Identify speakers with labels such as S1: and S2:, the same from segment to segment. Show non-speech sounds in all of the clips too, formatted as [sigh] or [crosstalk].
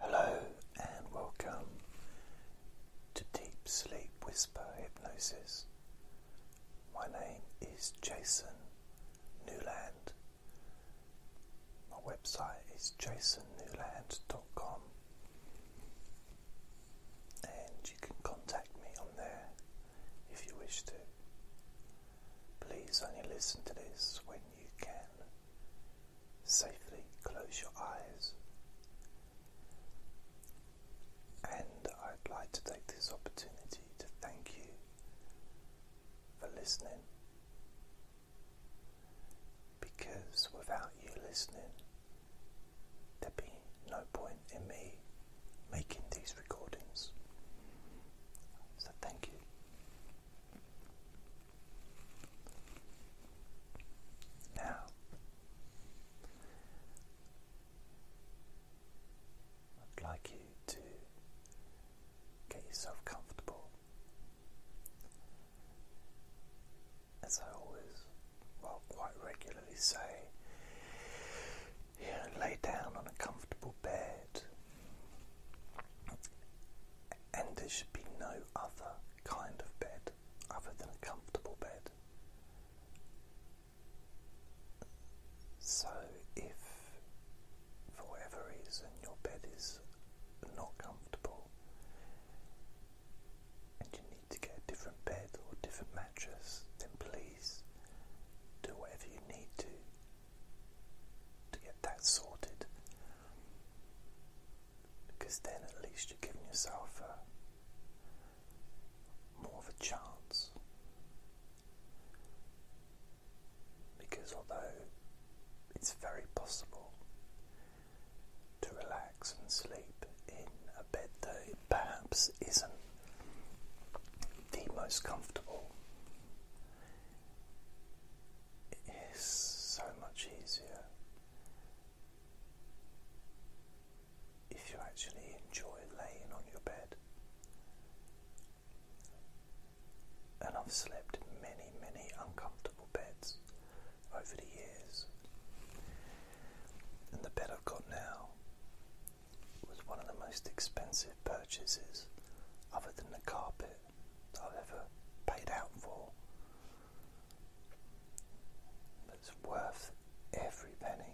S1: Hello and welcome to Deep Sleep Whisper Hypnosis. My name is Jason Newland. My website is jasonnewland.com and you can contact me on there if you wish to. Please only listen to this when you can safely close your eyes. And I'd like to take this opportunity to thank you for listening. Because without you listening, there'd be no point in me making these recordings. So, thank you. Now, I'd like you to get yourself comfortable. As I always, well, quite regularly say, you know, lay down on a comfortable bed and there should be no other kind of bed other than a comfortable bed. So, if for whatever reason your bed is not comfortable and you need to get a different bed or different mattress, then please do whatever you need to to get that sorted because then at least you're giving yourself a, more of a chance. Because although it's very possible to relax and sleep in a bed that it perhaps isn't the most comfortable, it's so much easier if you actually enjoy laying on your bed. And I've slept in many, many uncomfortable beds over the years. And the bed I've got now was one of the most expensive purchases, other than the carpet, I've ever paid out for. That's worth every penny.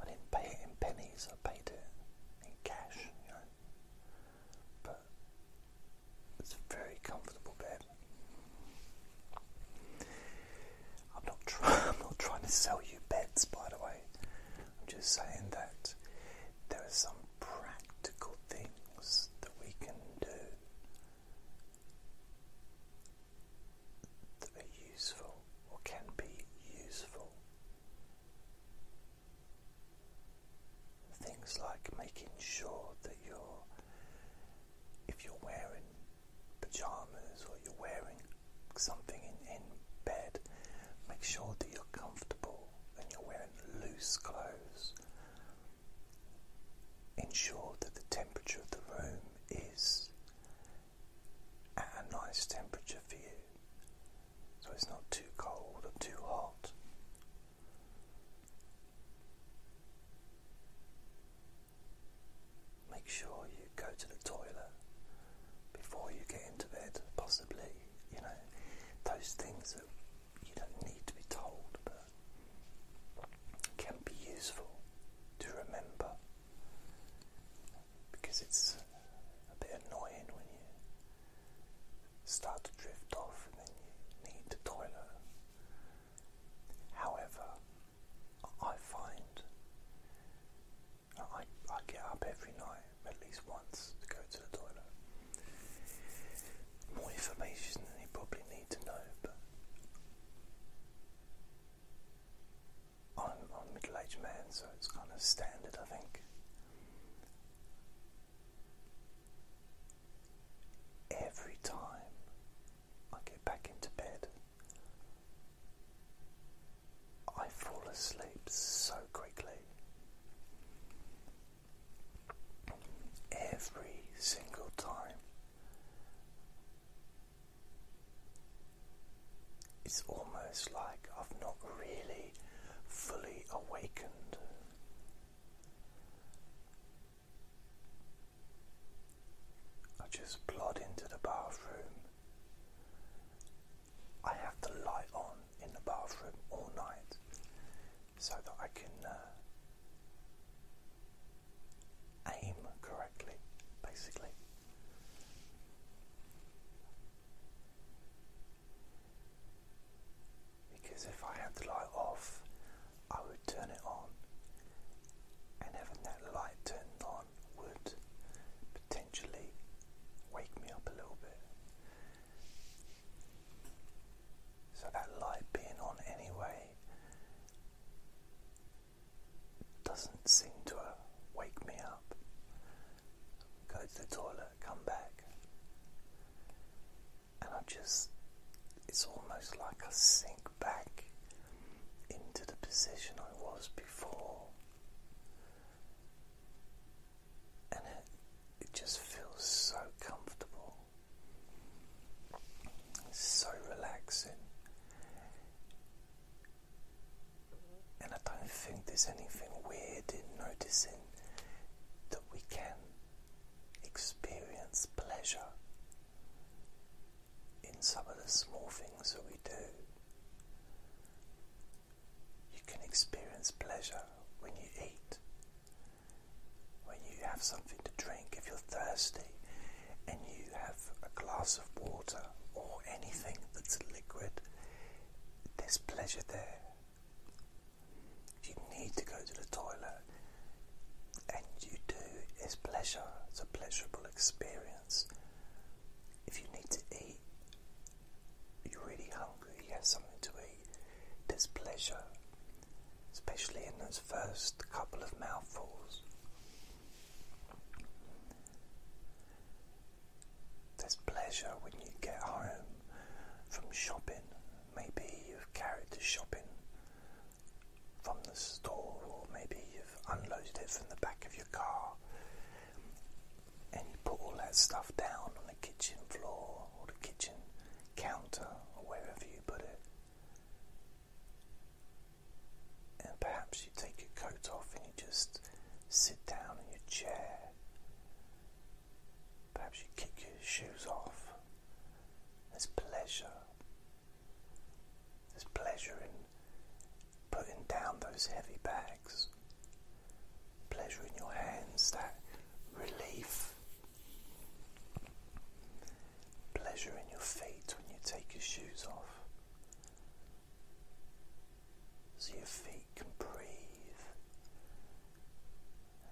S1: I didn't pay it in pennies, I paid it in cash, you know. But it's a very comfortable bed. I'm not, [laughs] I'm not trying to sell you beds, by the way. I'm just saying that there are some practical things that we can do that are useful or can be useful. Things like making sure that you're, if you're wearing pajamas or you're wearing something in, in bed, make sure that you're comfortable and you're wearing loose clothes. Ensure that the temperature of the room is at a nice temperature for you, so it's not too cold or too hot. Make sure you go to the toilet before you get into bed, possibly, you know, those things that you don't need to be told but can be useful to remember because it's a bit annoying when you start to drift off and then you need the toilet. However, I find I, I get up every night at least once to go to the toilet. More information than you probably need to know, but I'm, I'm middle aged man, so it's kind of standard, I think. Every time I get back into bed, I fall asleep so quickly. Every single time. It's almost like I've not really fully awakened. I just plod into the bathroom I have the light on in the bathroom all night so that I can uh, aim correctly, basically. Because if I had the light off, I would turn it on, and having that light turned on would potentially wake me up a little bit. So that light being on anyway doesn't seem to wake me up. Go to the toilet, come back, and I just, it's almost like I sink back into the position I was before and it, it just feels so comfortable, it's so relaxing. And I don't think there's anything weird in noticing that we can experience pleasure in some of the small things that we do. You can experience pleasure when you eat, when you have something to drink, if you're thirsty and you have a glass of water or anything that's liquid, there's pleasure there. If you need to go to the toilet, and you do, it's pleasure, it's a pleasurable experience. If you need to eat, you're really hungry, you have something to eat, there's pleasure, especially in those first couple of mouthfuls. There's pleasure when you get home from shopping. Maybe you've carried the shopping from the store, or maybe unloaded it from the back of your car and you put all that stuff down on the kitchen floor or the kitchen counter or wherever you put it. And perhaps you take your coat off and you just sit down in your chair. Perhaps you kick your shoes off. There's pleasure there's pleasure in putting down those heavy bags, pleasure in your hands, that relief, pleasure in your feet when you take your shoes off. So your feet can breathe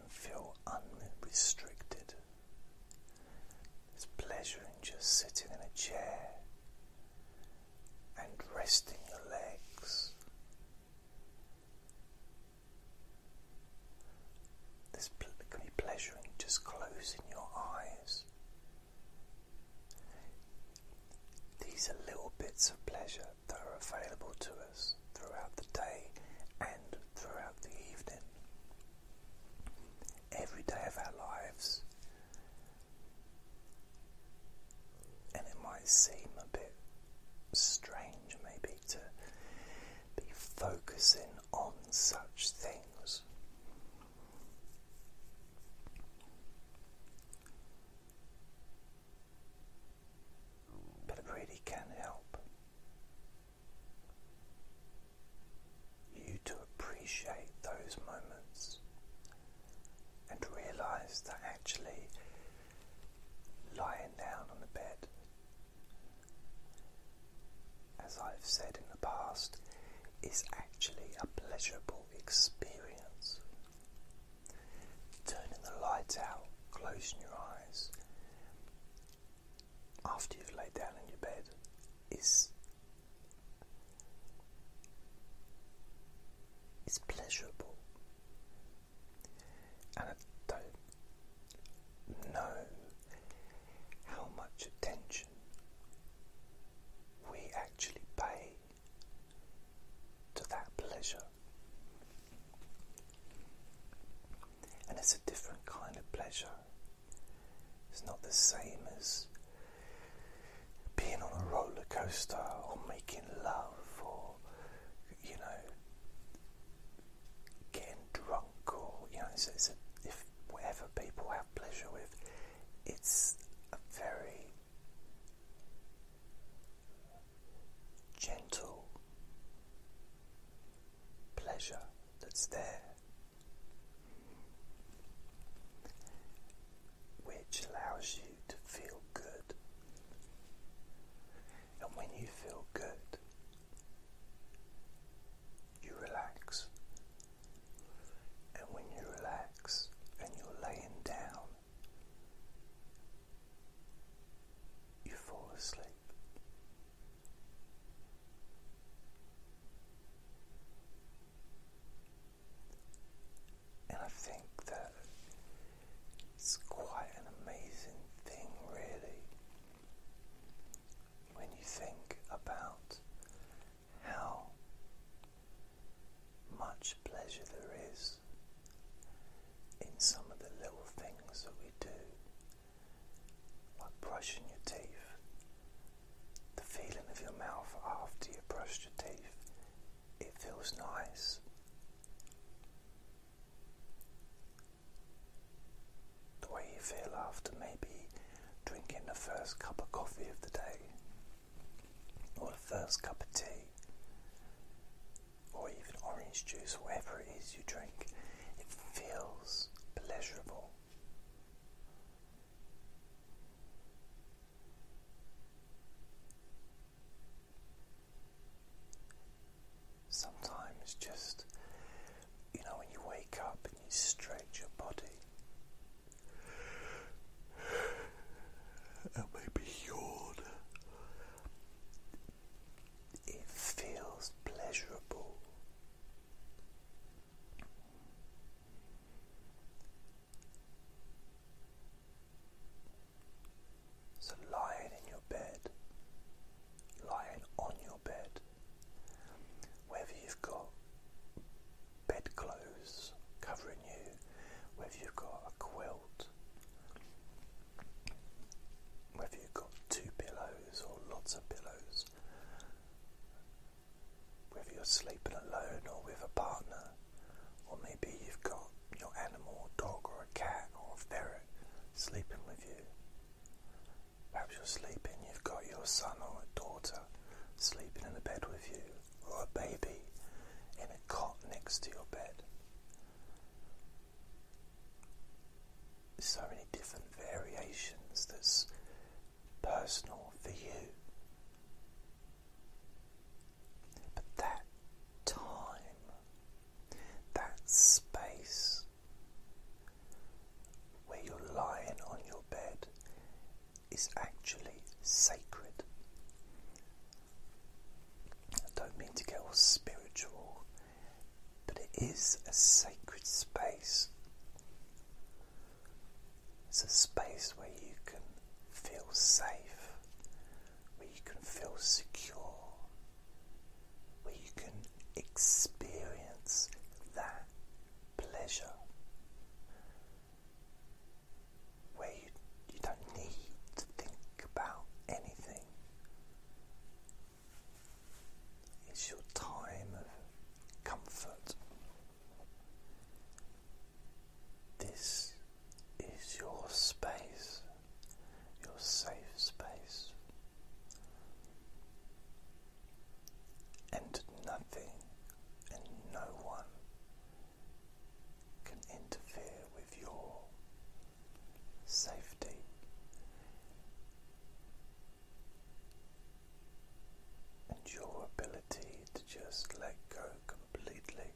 S1: and feel unrestricted. There's pleasure in just sitting in a chair and resting your legs. There's can be pleasure in just closing your eyes. These are little bits of pleasure that are available to us throughout the day and throughout the evening every day of our lives. And it might seem a bit strange, maybe, to be focusing on such things. But it really can help you to appreciate those moments and realize that actually lying down on the bed, as I've said in the past, is actually a pleasurable experience. Turning the light out, closing your eyes, after you've laid down in your bed is is pleasurable. And I don't know how much attention we actually pay to that pleasure. And it's a different kind of pleasure. It's not the same as being on a roller coaster or making love or, you know, getting drunk or, you know, if whatever people have pleasure with, it's a very gentle pleasure that's there, which allows you to feel good. And when you feel good, you relax. And when you relax and you're laying down, you fall asleep. And I think that it's quite an amazing thing, really, when you think about how much pleasure there is in some of the little things that we do like brushing your teeth. The feeling of your mouth after you brush your teeth, it feels nice. The way you feel after maybe drinking the first cup of coffee of the day, or the first cup of tea, or even orange juice, whatever it is you drink, it feels pleasurable. Sometimes just, you know, when you wake up and you stretch your body and maybe yawn, it feels pleasurable. So, lying in your bed, lying on your bed, whether you've got bedclothes covering you, whether you've got a quilt, whether you've got two pillows or lots of pillows, whether you're sleeping alone or with a partner, or maybe you've got your animal, a dog or a cat or a ferret sleeping with you. Perhaps you're sleeping, you've got your son or a daughter sleeping in a bed with you, or a baby in a cot next to your bed so many different variations that's personal for you. But that time, that space where you're lying on your bed is actually sacred. I don't mean to get all spiritual but it is a sacred space. It's a space where you can feel safe, where you can feel secure, where you can experience that pleasure, where you, you don't need to think about anything. It's your time of comfort. This is your space, your safe space, and nothing and no one can interfere with your safety. And your ability to just let go completely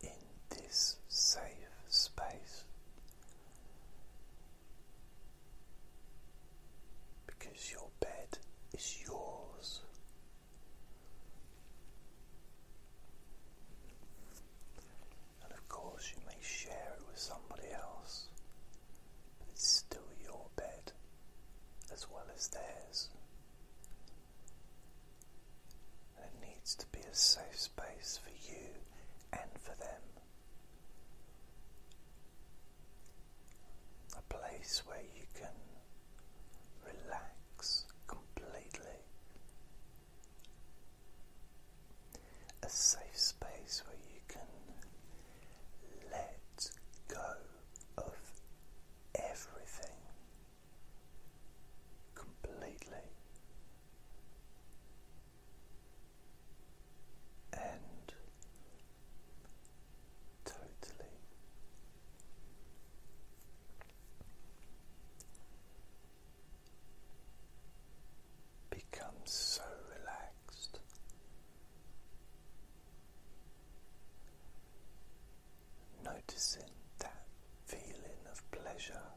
S1: in this safe space because your bed is yours. And of course, you may share it with somebody else, it's still your bed as well as theirs. And it needs to be a safe space for you and for them. A place where you can relax completely a safe space where you can let go of everything completely and totally becomes so relaxed. Noticing that feeling of pleasure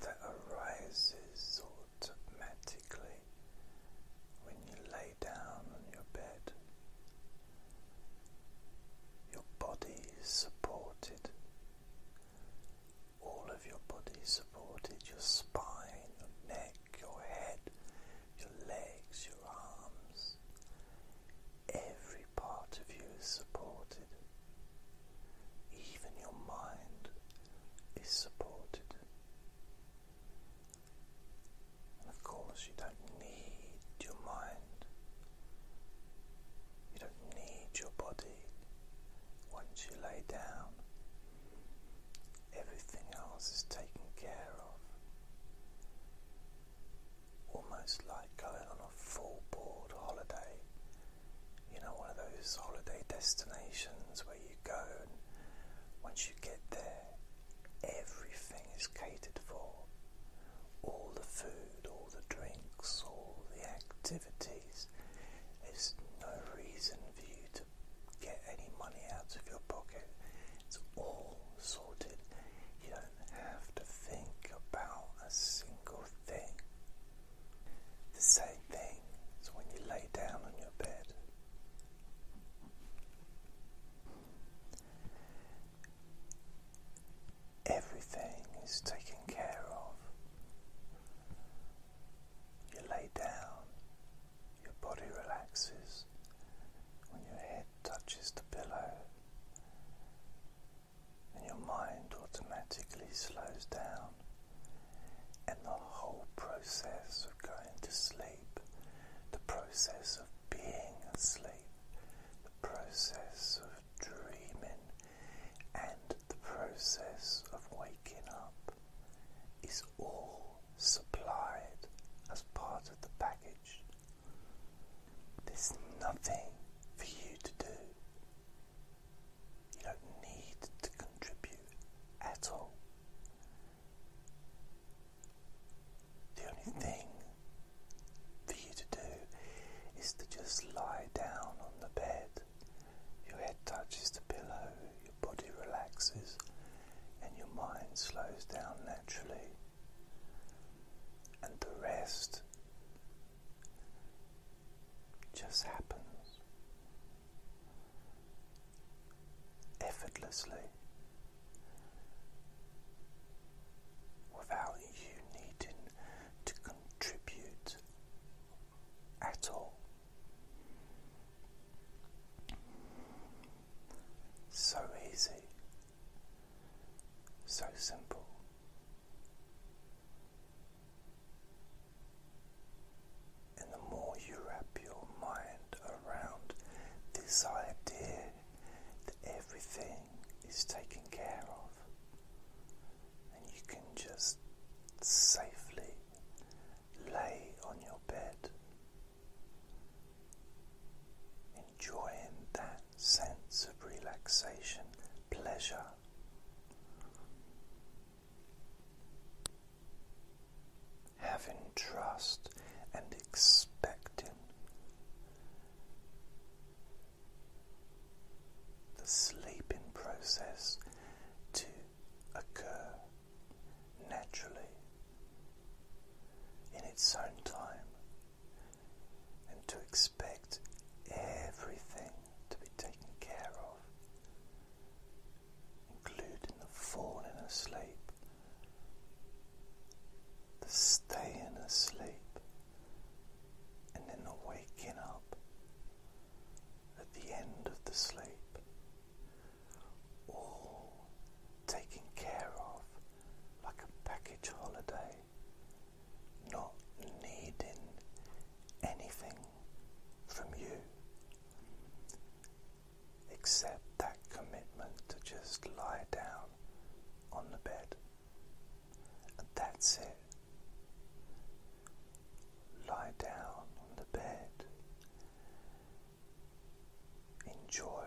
S1: that arises automatically when you lay down on your bed. Your body is supported, all of your body is supported, your spine, your neck, your head, your legs, your arms. Every part of you is supported. Even your mind is supported. of course, you don't need your mind. You don't need your body once you lay down. Everything else is taken care of. Almost like going on a full board holiday. You know, one of those holiday destinations where you go and once you get there, everything is catered for. All the food all the drinks, all the activities. There's no reason for you to get any money out of your pocket. It's all sorted. You don't have to think about a single thing. The same thing is when you lay down on your bed. Everything is taken care of. You lay down, your body relaxes when your head touches the pillow, and your mind automatically slows down, and the whole process of going to sleep, the process of being asleep, the process of dreaming and the process of waking up is all supplied as part of the package. There's nothing for you to do. You don't need to contribute at all. The only thing for you to do is to just lie down on the bed. Your head touches the pillow, your body relaxes, and your mind slows down naturally. And the rest just happens effortlessly without you needing to contribute at all. So easy, so simple. And the more you wrap your mind around this idea that everything is taken care of, and you can just safely lay on your bed, enjoying that sense of relaxation, pleasure. Having trust and expecting the sleeping process to occur naturally in its own time and to expect everything to be taken care of, including the falling asleep the staying asleep and then waking up at the end of the sleep, all taken care of like a package holiday, not needing anything from you accept that commitment to just lie down on the bed. And that's it. Lie down on the bed. Enjoy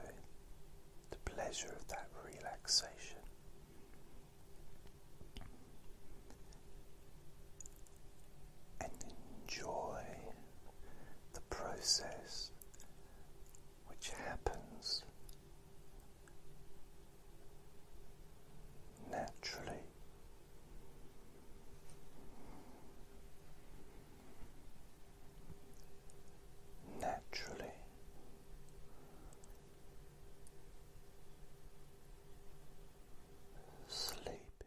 S1: the pleasure of that relaxation. And enjoy the process which happens naturally. Naturally, sleepy,